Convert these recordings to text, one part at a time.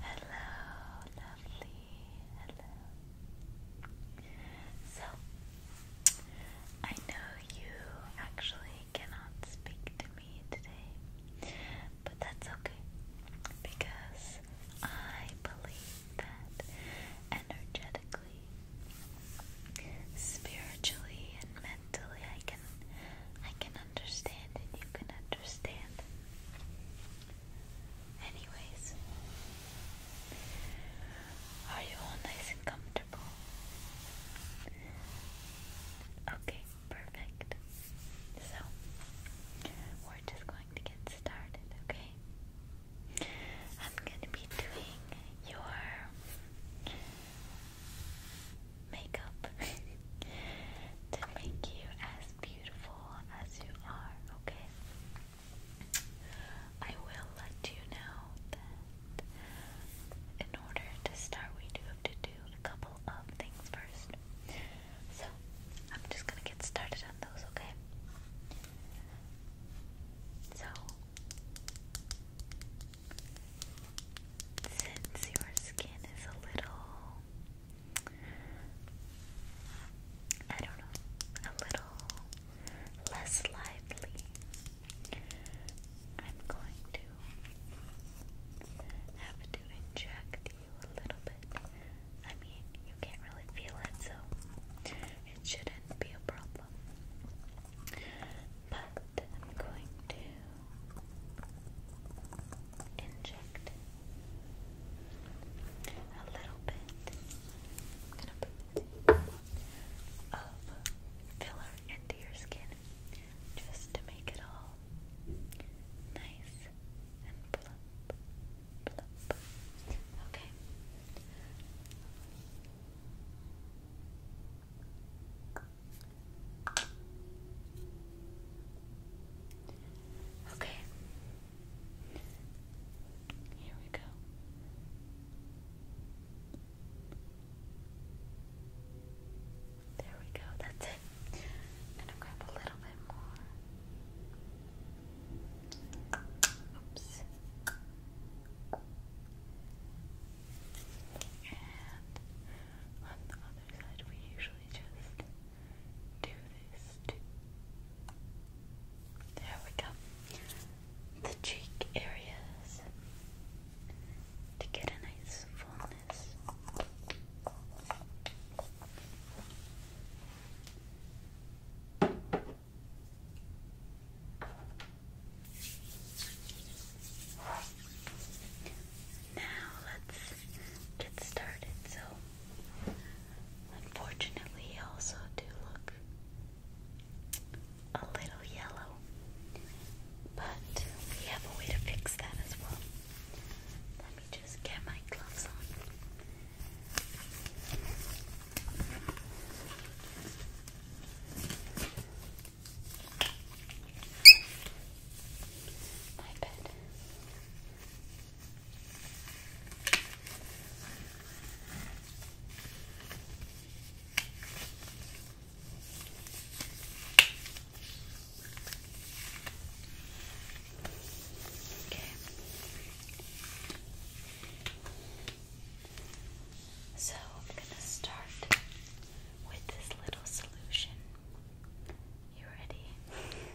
Hello, lovely. Hello. So, I know you actually cannot speak to me today, but that's okay because I believe that energetically, spiritually, and mentally, I can I can understand and you can understand. Anyways, are you all nice and comfortable? Okay, perfect. So, we're just going to get started, okay? I'm going to be doing your makeup to make you as beautiful as you are, okay? I will let you know that in order to start, we do have to do a couple of things first. So, I'm just gonna get started on those, okay? So, since your skin is a little I don't know, a little less lively. I'm going to have to inject you a little bit. I mean, you can't really feel it, so it shouldn't be a problem. But I'm going to inject a little bit. of filler into your skin just to make it all nice and plump. Okay. Okay. Here we go. There we go. That's it. And i grab a little bit more. Oops. on the other side, we usually just do this There we go. The cheek areas to get a nice fullness. Now let's get started. So, unfortunately, you also do look a little yellow, but we have a way to fix that as well. Let me just get my gloves on. My bed. Okay. So I'm going to start with this little solution. You ready?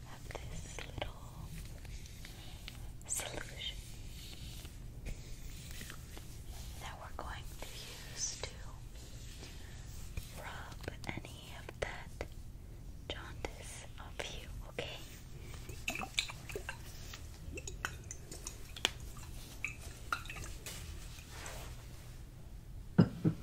of this little solution that we're going to use to rub any of that jaundice off you, okay?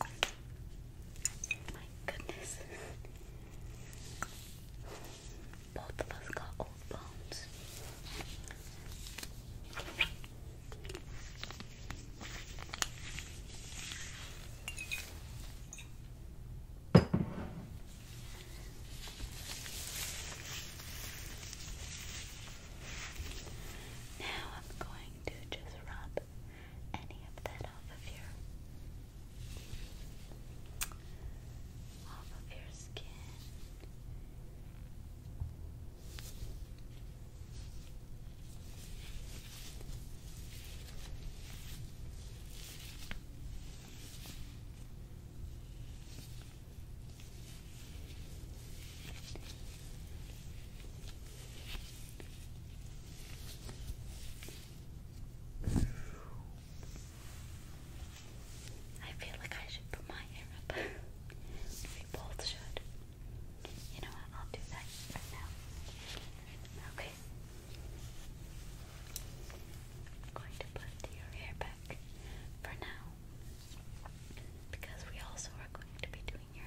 My goodness. Both of us got old bones. Now I'm going to just rub any of that off of your off of your skin. I feel like I should put my hair up. we both should. You know what? I'll do that right now. Okay. I'm going to put your hair back for now because we also are going to be doing doing your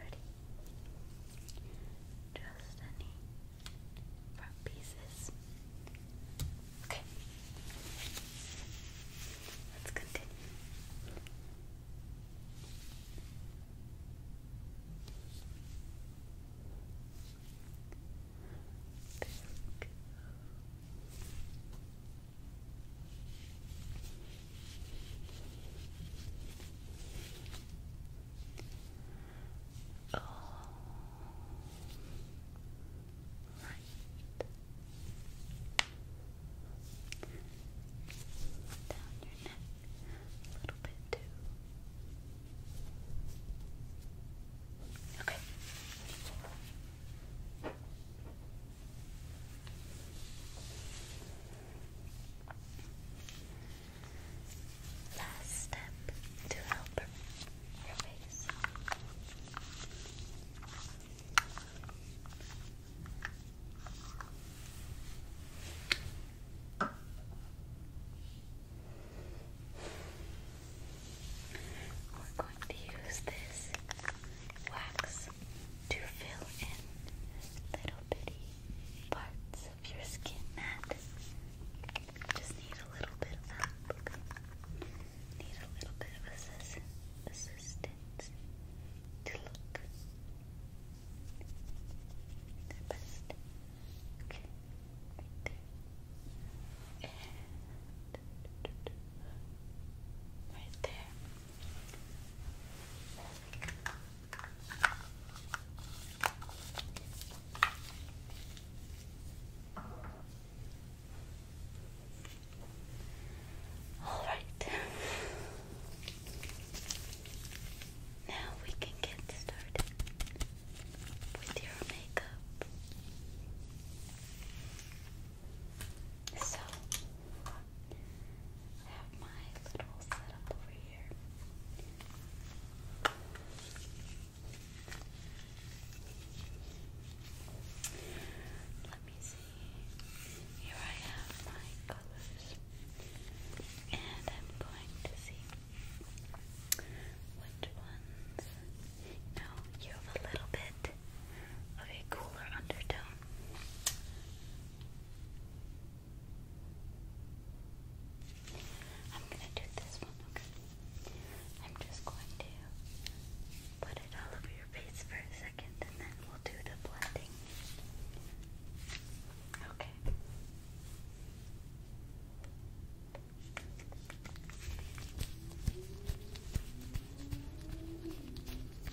Ready? Just any front pieces. Okay. Let's continue. There all right. Down your neck a little bit too. Okay. Last step to help your face. We're going to use this wax is to fill in little bitty parts of your skin mat. Just need a little bit of help. Need a little bit of assist assistance to look their best. Okay, right there. right there. All right. Now we can get started with your makeup. So, I have my little setup over here. Let me see. Here I have my colors. And I'm going to see which ones. You you have a little bit of a cooler undertone I'm gonna do this one, okay? I'm just going to put it all over your face for a second and then we'll do the blending. Okay.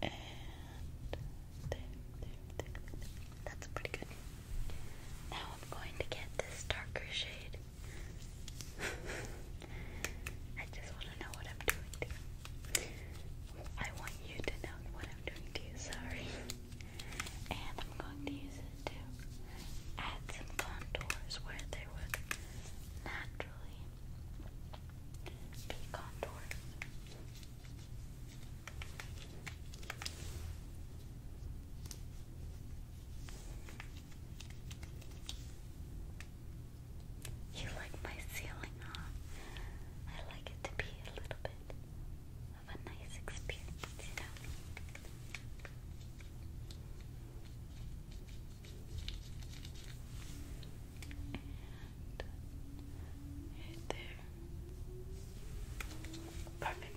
And That's pretty good. Now I'm going to get this darker shade. I just want to know what I'm doing you. I want you to know what I'm doing to you, sorry. And I'm going to use it to add some contours where they would naturally be contoured. You like my ceiling, huh? I like it to be a little bit of a nice experience, uh, there. Perfect.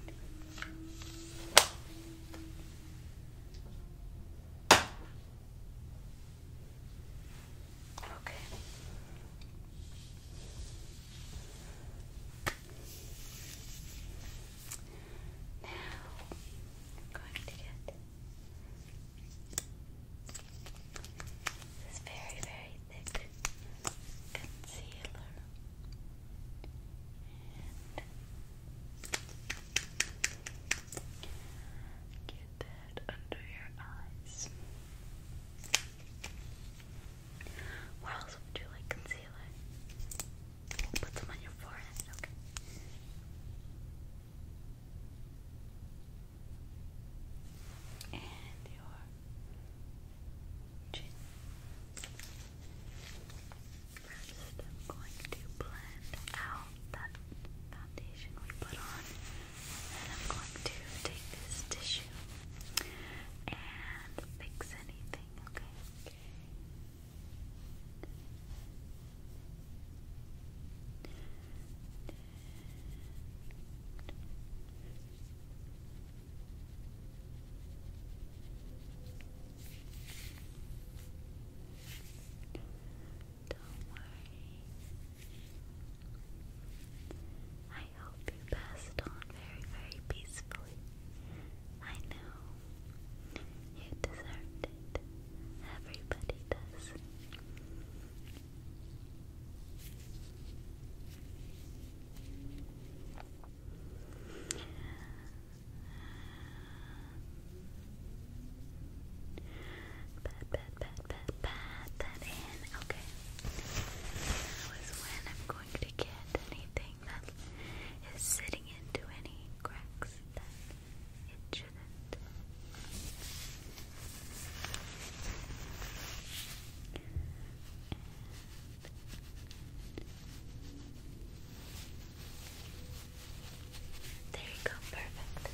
Okay. Now I'm going to get this very, very thick concealer get that under your eyes. Where else would you like concealer? put some on your forehead, okay? And your chin. i I'm going to blend out that foundation we put on. And I'm going to take this tissue and fix anything, Okay. Okay. Don't worry. I hope you passed on very, very peacefully. I know you deserved it. Everybody does. Pat, that in. Okay. Now when I'm going to get anything that is sitting into any cracks that it should there you go, perfect.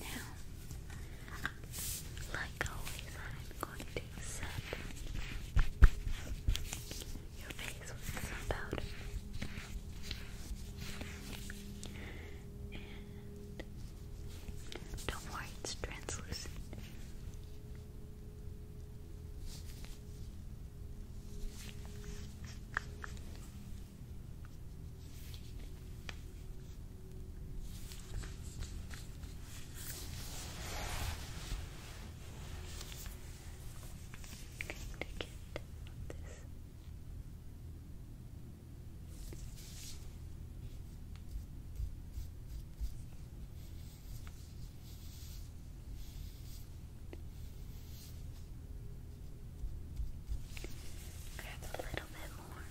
Now, like always, I'm going to set your face with some powder. Don't worry, it's translucent. I'm going this. Grab a little bit more.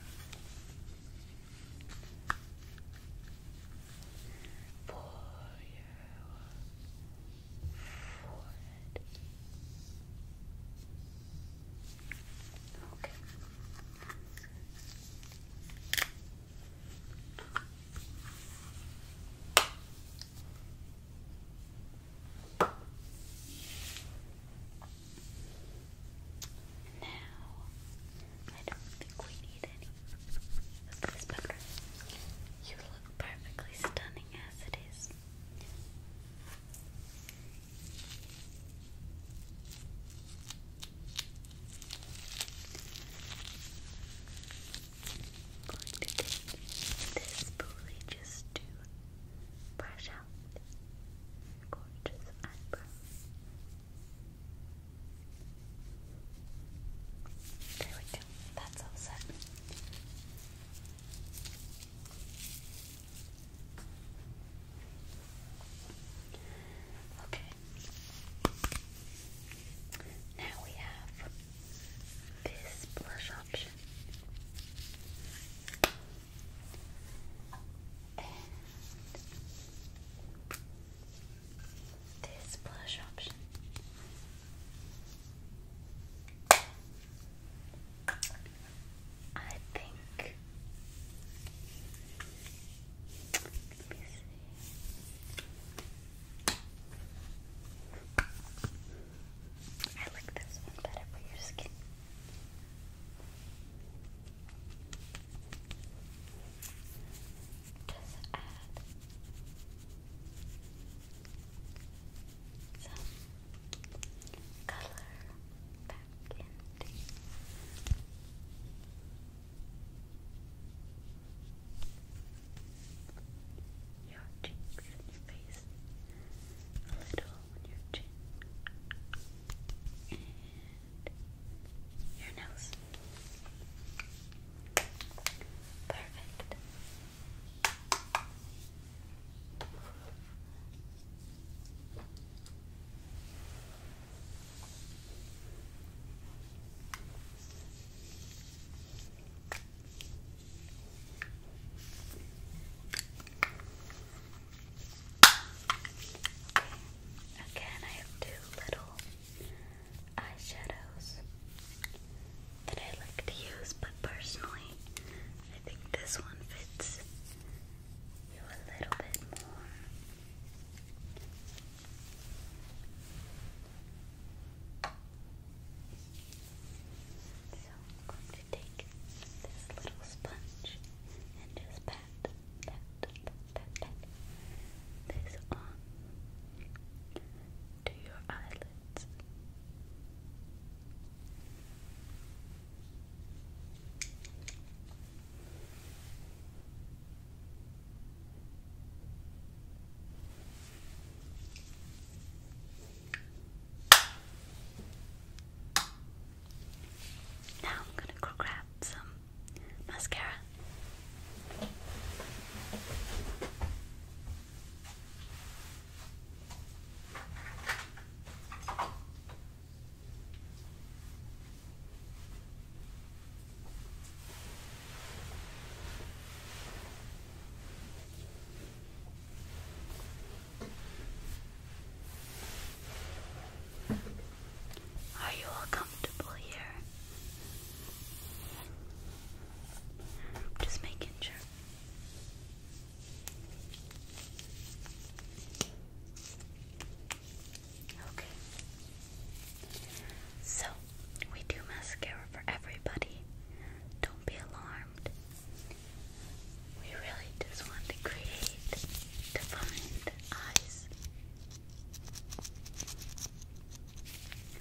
For your forehead. Okay. Now I don't think we need any of this powder. You look perfectly stunning as it is. I'm going to take this spoolie just to brush out this gorgeous eyebrow. There we go. That's all set. Okay. Now we have this blush option. And this blush option. I think. Let me see. I like this one better for your skin. Just add some color candy. Your cheeks your face, a little on your chin, and your nose. Perfect. Again, I have two little eyeshadows that I like to use, but personally, I think this one fits you a little bit more. So I'm going to take this little sponge and just pat, pat, pat, pat, pat this on your eyelids. Now I'm going to grab some mascara. Are you all comfortable here? Just making sure. Okay. So, we do mascara for everybody. Don't be alarmed. We really just want to create defined eyes.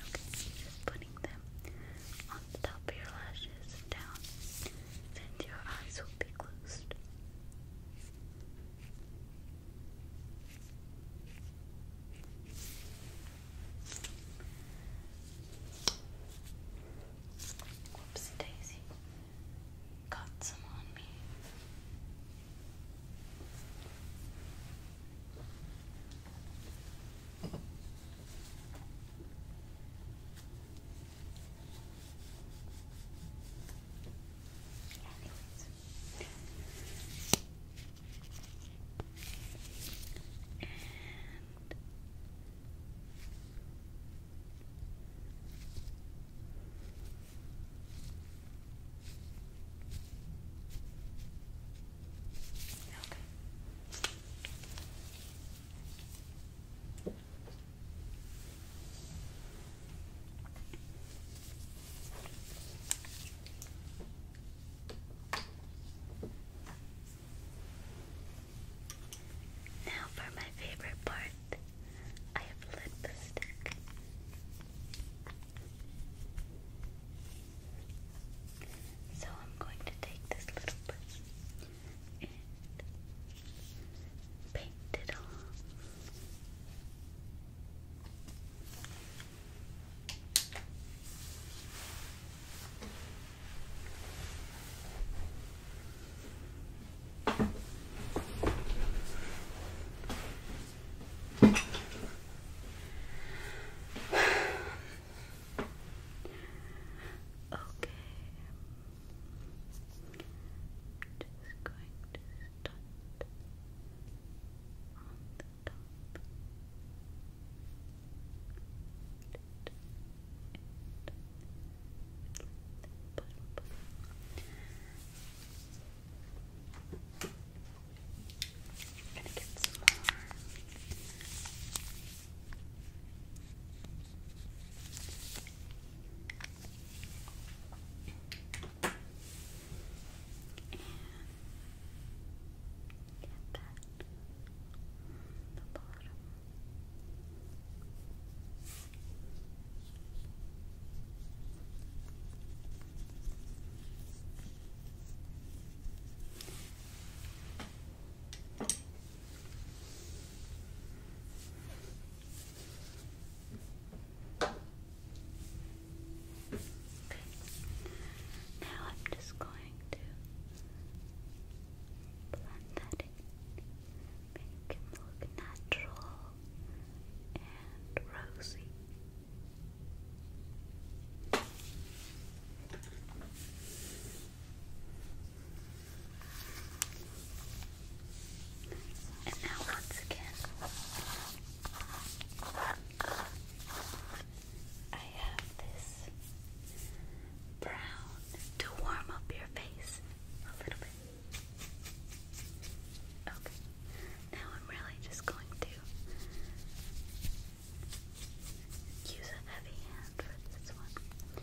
Okay, just putting them on the top of your lashes down. Since your eyes will closed. Daisy got some on me. And Okay. Now for my favorite part, I have lipstick. So I'm going to take this little brush and paint it off. Okay. Just going to start on the top. I'm gonna get some more. And get that on the bottom. Okay. Now I'm just going to blend that in, make him look natural and rosy. And now, once again, I have this brown to warm up your face a little bit. Okay, now I'm really just going to use a heavy hand for this one.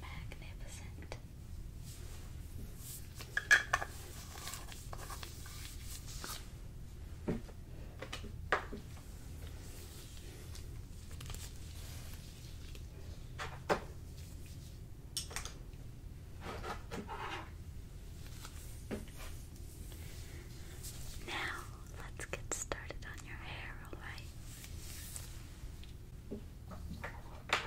Magnificent. Now, let's get started on your hair, alright? Unclip.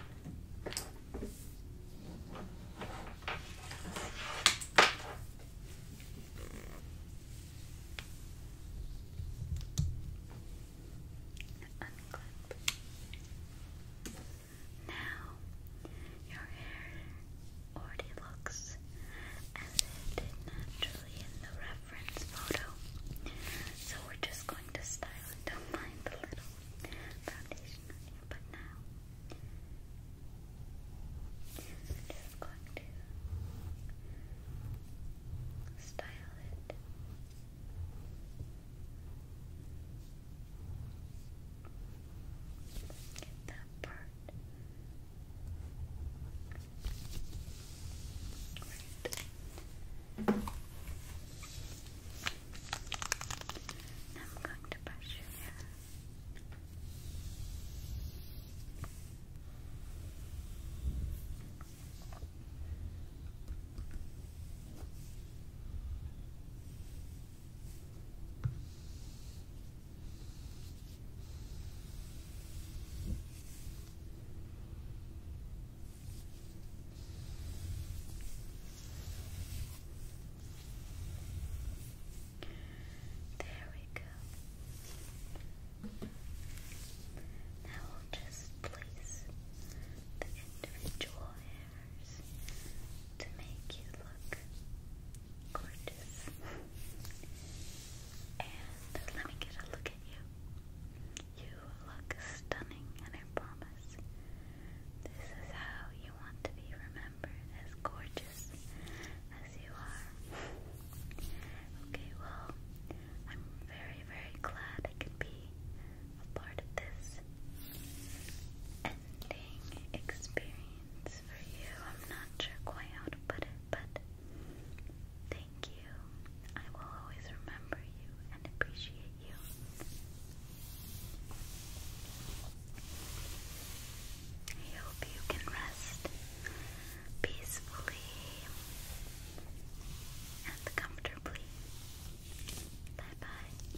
Now, your hair already looks as it did naturally in the reference photo. So we're just going to style it. Don't mind the little foundation on you, but now just going to Style it that part. Right. Now I'm going to brush your there we go. Now we'll just place the individual manners to make you look gorgeous. and let me get a look at you. You look stunning, and I promise this is how you want to be remembered as gorgeous as you are. Okay, well, I'm very, very glad I could be a part of this ending experience for you. I'm not sure quite how to put it, but thank you. I will always remember you and appreciate you. I hope you can rest peacefully and comfortably. Bye bye.